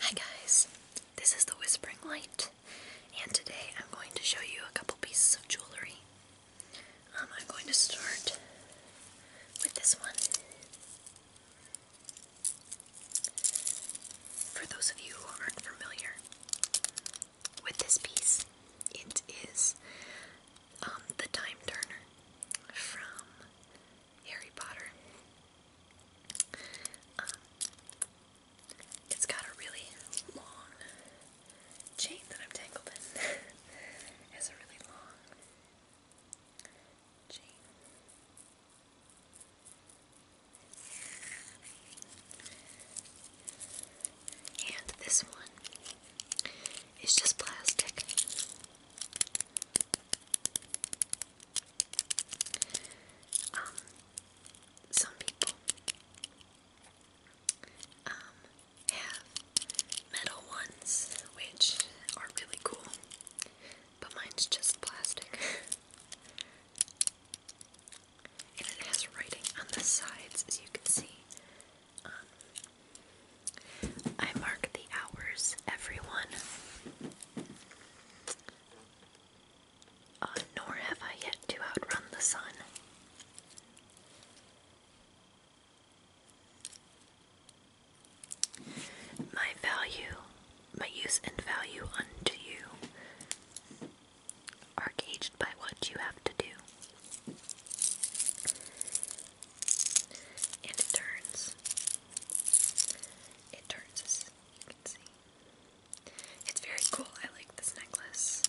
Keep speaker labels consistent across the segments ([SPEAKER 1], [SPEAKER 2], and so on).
[SPEAKER 1] Hi guys, this is the Whispering Light, and today I'm going to show you a couple pieces of jewelry. Um, I'm going to start with this one. For those of you who aren't familiar with this piece, it is um, the Time Turner from Harry Potter. Um, it's got a really long chain that I'm tangled in. it's a really long chain. And this one is just plastic. Um, some people um, have metal ones, which are really cool, but mine's just plastic. and it has writing on the sides, as you can see. Um, I mark the hours, everyone. Uh, nor have I yet to outrun the sun. My value, my use and value unto you are gauged by what you have to do it turns. It turns you can see. It's very cool. I like this necklace.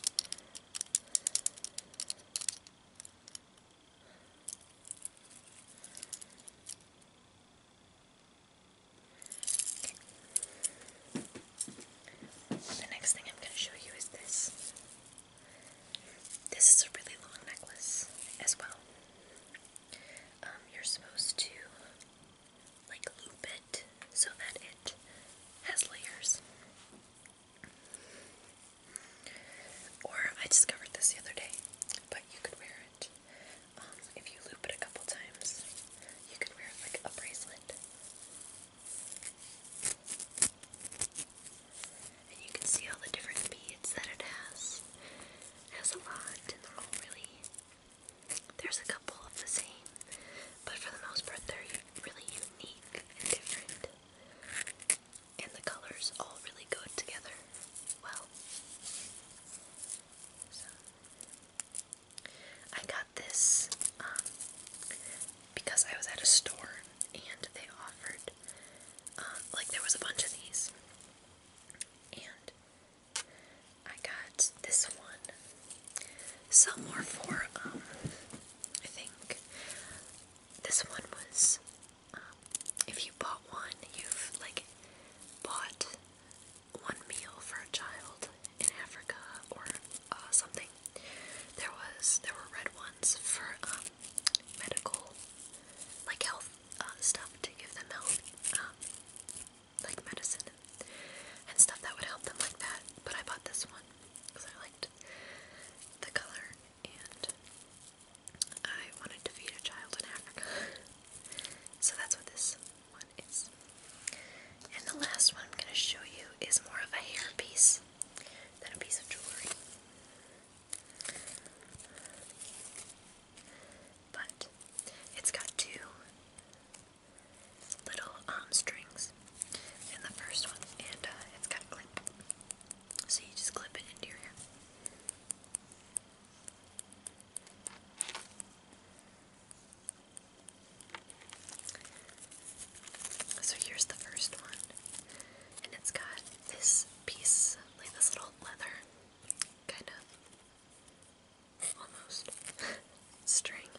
[SPEAKER 1] The next thing I'm going to show you is this. This is a really long necklace as well. Um, you're supposed to like loop it so that it has layers. Or I discovered this the other day, but you could wear it. Um, if you loop it a couple times, you could wear it like a bracelet. And you can see all the different beads that it has. It has a lot, and they're all really. There's a couple of the same, but for the most part, they're really unique and different. And the colors all really go together well. I got this um, because I was at a store and they offered, um, like, there was a bunch of these. And I got this one. Some more for, um, I think this one was, um, if you bought one, you've, like, bought one meal for a child in Africa or uh, something. There was there were red ones for um, medical, like health uh, stuff to give them health, um, like medicine and stuff that would help them like that. But I bought this one because I liked the color and I wanted to feed a child in Africa. so that's what this one is. And the last one I'm going to show you is more of a hair piece than a piece of jewelry. But it's got two little um, strings in the first one, and uh, it's got a clip. So you just clip it into your hair. So here's the first one. And it's got this piece, like this little leather kind of almost string.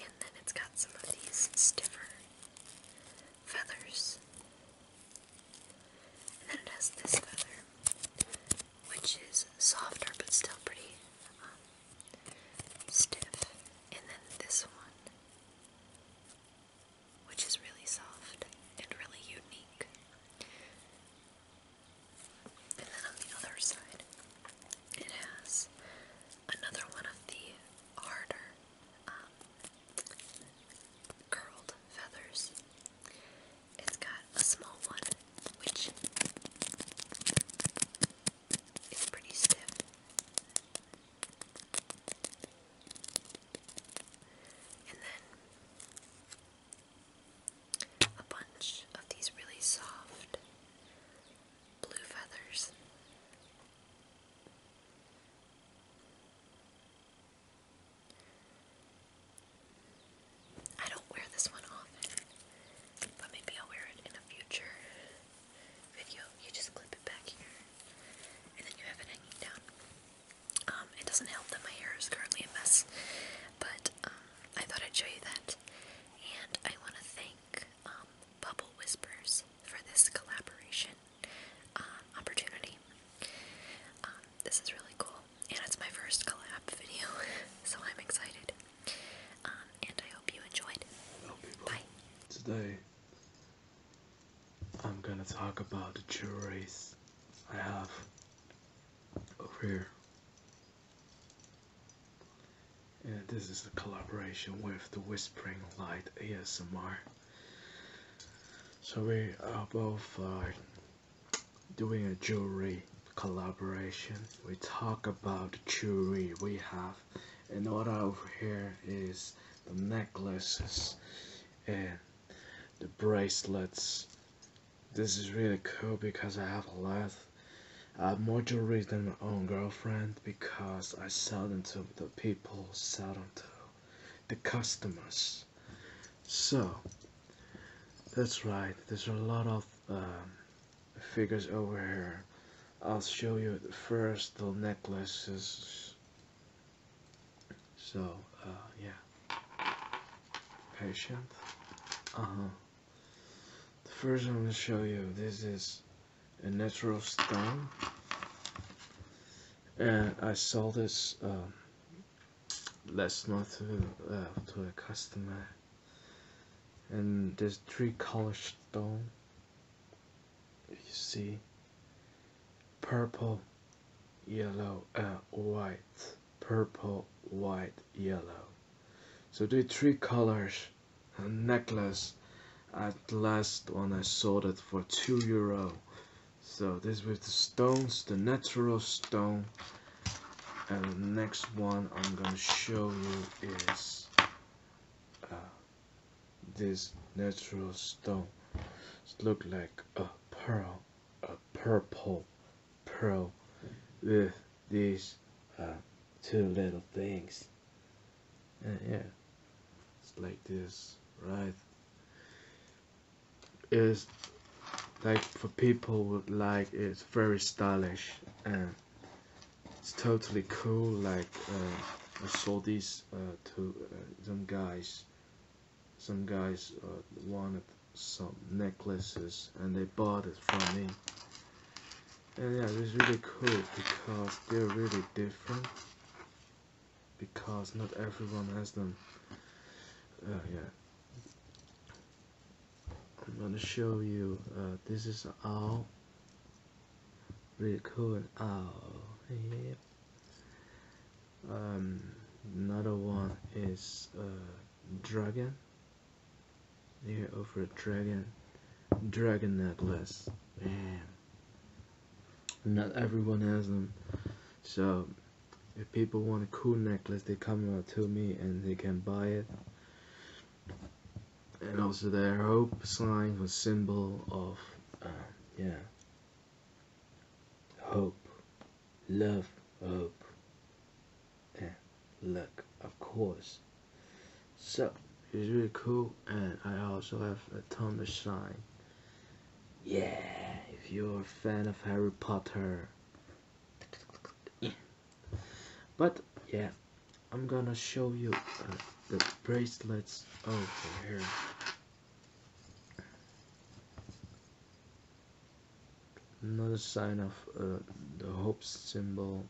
[SPEAKER 1] And then it's got some of these stiffer feathers. And then it has this feather, which is softer but still pretty um, stiff, and then this one, which is really soft and really unique. And then on the other side, it has another one of the harder um, curled feathers. It's got a small one, which is pretty stiff. And then a bunch of these really soft blue feathers. I don't wear this one often, but maybe I'll wear it in a future video. You just clip it back here, and then you have it hanging down. Um, it doesn't help that my hair is currently a mess, but um, I thought I'd show you that. And I want to thank um, Bubble Whispers for this collaboration uh, opportunity. this is really cool and it's my first collab video, so I'm excited. Um, and I hope you enjoyed.
[SPEAKER 2] Bye. Today, I'm gonna talk about the jewelry I have over here. And this is a collaboration with the Whispering Light ASMR. So we are both fine. Uh, doing a jewelry collaboration. We talk about jewelry we have. And what over here is the necklaces and the bracelets. This is really cool because I have a lot. I uh, have more jewelry than my own girlfriend because I sell them to the people, sell them to the customers. So that's right, there's a lot of um, figures over here. I'll show you first the necklaces. So, uh, yeah. Patient. Uh-huh. The first I'm going to show you, this is a natural stone. And I saw this um, that's not to, uh, uh, to a customer and there's three color stone you see purple yellow and white purple white yellow so the three colors necklace at last one I sold it for two euro so this with the stones, the natural stone. And the next one I'm gonna show you is uh, this natural stone. It look like a pearl, a purple pearl with these uh, two little things yeah, yeah. It's like this, right? It's like for people would like it's very stylish and it's totally cool. Like uh, I saw these uh, to uh, some guys, some guys wanted some necklaces and they bought it from me. And yeah, it's really cool because they're really different because not everyone has them. Uh, yeah. I'm gonna show you. Uh, this is all. owl. Really cool an owl. Oh, yep. Um, another one is a uh, dragon. Here over a dragon, dragon necklace. Man. Not everyone has them. So if people want a cool necklace, they come out to me and they can buy it. And also their hope sign was symbol of, uh, yeah, hope, love, hope, and luck, of course. So it's really cool, and I also have a Thunder sign. Yeah, if you're a fan of Harry Potter. Yeah. But yeah, I'm gonna show you uh, the bracelets over here. Another sign of uh, the hope symbol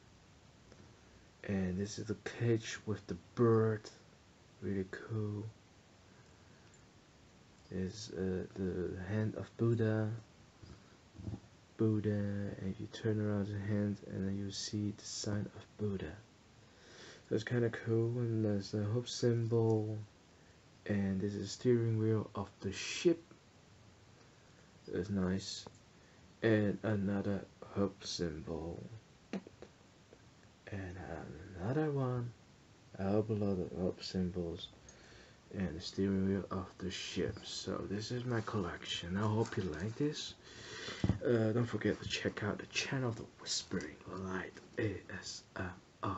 [SPEAKER 2] and this is the cage with the bird really cool is uh, the hand of Buddha Buddha and you turn around the hand and then you see the sign of Buddha so it's kind of cool and there's the hope symbol and this is steering wheel of the ship is nice. And another hub symbol. And another one. I'll below the hub symbols and the steering wheel of the ship. So this is my collection. I hope you like this. Uh, don't forget to check out the channel of the Whispering Light ASMR.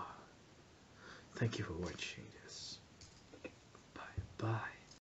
[SPEAKER 2] Thank you for watching this. Bye bye.